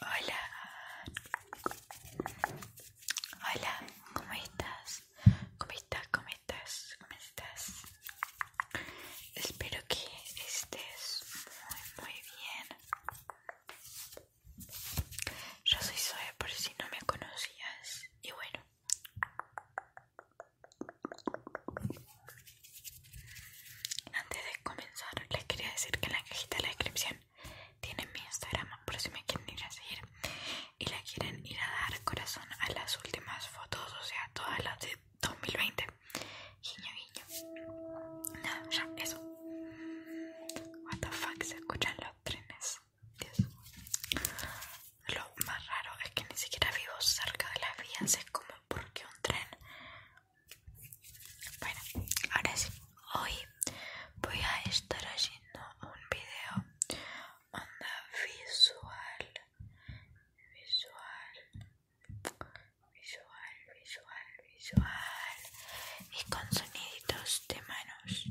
Hola. Hola, ¿cómo estás? ¿Cómo estás? ¿Cómo estás? ¿Cómo estás? Espero que estés muy, muy bien. Yo soy Zoe por si no me conocías. Y bueno. Antes de comenzar, les quería decir que en la cajita de la descripción tienen mi Instagram por si me quieren ir a seguir y la quieren ir a dar corazón a las últimas fotos, o sea, todas las de 2020. Guiño, guiño. Nada, ya, eso. What the fuck, se escuchan los trenes. Dios. Lo más raro es que ni siquiera vivo cerca de las vías, es como porque un tren bueno, ahora sí, hoy voy a estar haciendo un video onda visual, visual, visual, visual, visual y con soniditos de manos.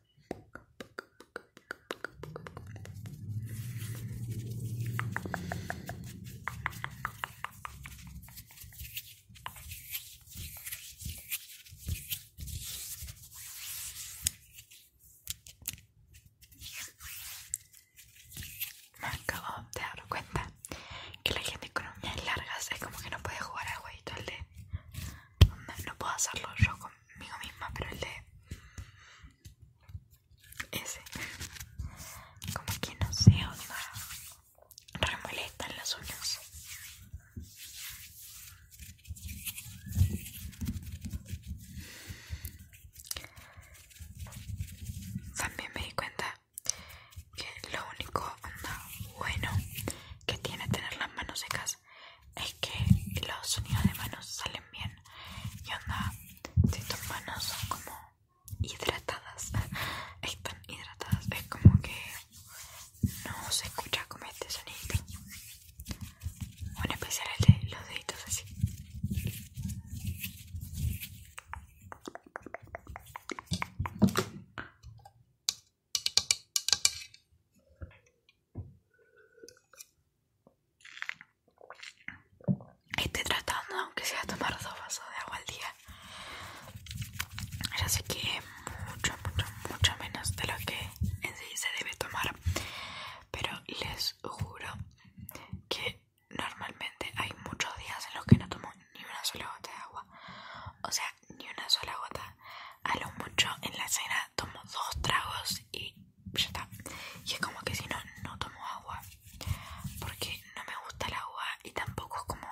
Me acabo de dar cuenta que la gente con uñas largas es como que no puede jugar al jueguito no puedo hacerlo yo con migo misma, pero el de ese, como que no sé, onda, remolestan las uñas. También me di cuenta que lo único bueno que tiene tener las manos secas es que los sonidos de manos salen bien. Y onda, si tus manos son como hidratadas, están hidratadas, es como que no se escucha como este sonido. Bueno, en especial los deditos así. Estoy tratando, aunque sea, tomar dos vasos de agua al día. Ya sé que es mucho, mucho, mucho menos de lo que en sí se debe tomar. Pero les juro que normalmente hay muchos días en los que no tomo ni una sola gota de agua. O sea, ni una sola gota. A lo mucho en la cena tomo dos tragos y ya está. Y es como que si no, no tomo agua. Porque no me gusta el agua y tampoco es como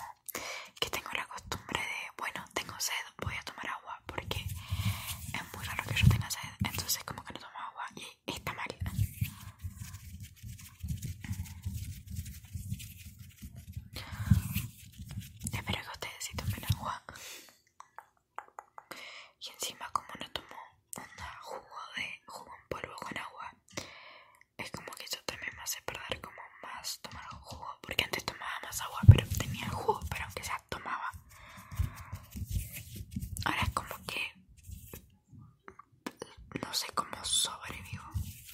que tengo la costumbre de, bueno, tengo sed, voy a tomar agua. Porque es muy raro que yo tenga sed. Entonces como que no tomo agua y está mal. Espero que ustedes sí tomen agua. Y encima, como no tomo un jugo de jugo en polvo con agua, es como que yo también me hace perder como más tomar jugo. Porque antes tomaba más agua, pero tenía jugo, pero aunque sea tomaba. Ahora es como que no sé cómo sobrevivo.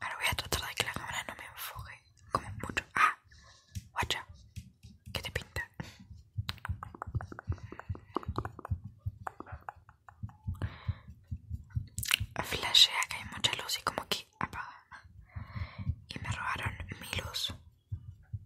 Ahora voy a tratar de que la cámara no me enfoque como mucho. Ah, guacha, ¿qué te pinta? Flashea que hay mucha luz y como que apaga. Y me robaron mi luz.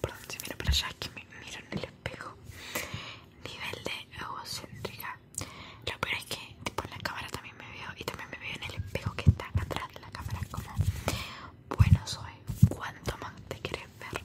Perdón, si miro para allá, que me miro en el espejo. Nivel de egocéntrica. Lo peor es que, tipo, en la cámara también me veo y también me veo en el espejo que está atrás de la cámara. Como, bueno, soy. ¿Cuánto más te quieres ver?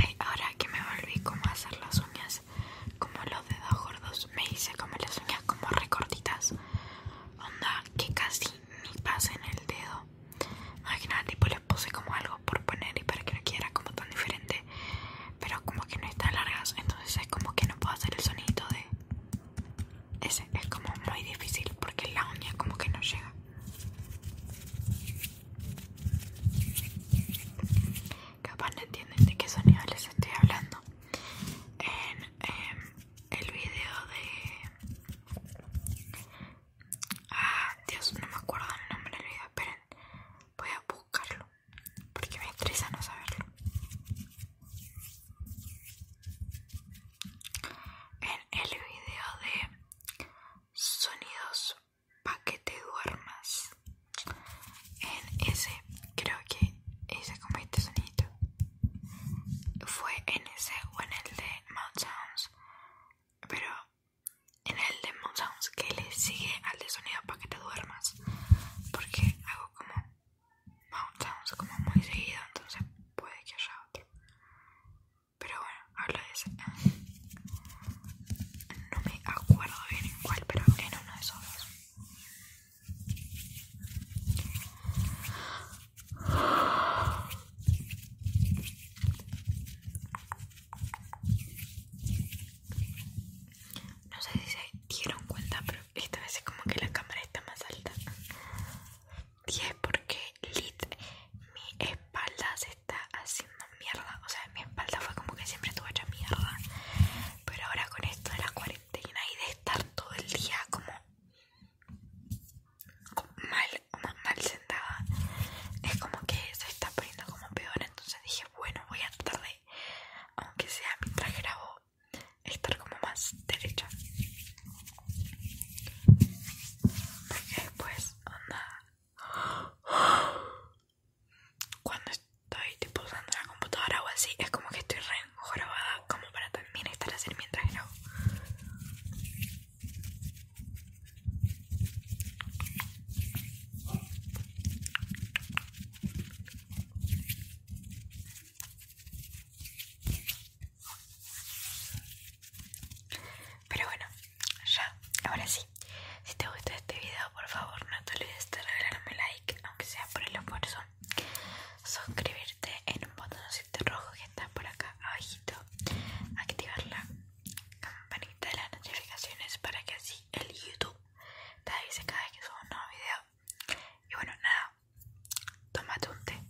Ay, ahora que me volví como hacer las uñas como los dedos gordos me hice como las uñas como recortitas onda que casi ni pasen el dedo nada tipo les puse como algo por poner y para que no quiera como tan diferente pero como que no están largas entonces es como que no puedo hacer el sonido de ese es como muy difícil porque la uña como que no llega capaz no entienden de qué sonido les estoy hablando en em, el video de ah Dios no me acuerdo el nombre del video esperen voy a buscarlo porque me estresa no saberlo en el video de sonidos para que te duermas. En ese, creo que hice como este sonido. Fue en ese o en el de Mount Sounds. Pero en el de Mount Sounds que le sigue al de sonido para que te duermas. Porque hago como Mount Sounds como muy seguido, entonces puede que haya otro. Pero bueno, habla de ese. No me acuerdo bien en cuál, pero en uno de esos dos. No sé si se dieron cuenta, pero esta vez es como que la cámara está más alta. ¿por qué? mi espalda se está haciendo mierda o sea mi espalda fue como que siempre estuvo hecha mierda pero ahora con esto de la cuarentena y de estar todo el día como mal mal sentada es como que se está poniendo como peor entonces dije bueno voy a tratar de aunque sea mientras grabo estar como más derecha porque después cuando estoy tipo usando la computadora o así es como que estoy re jorobada como para también estar así mientras no pero bueno, ya, ahora sí. Si te gusta este video, por favor no te olvides de regalarme like, aunque sea por el esfuerzo. Suscribirte en un botón botoncito rojo que está por acá abajito. Activar la campanita de las notificaciones para que así el YouTube te avise cada vez que subo un nuevo video. Y bueno, nada, tómate un té.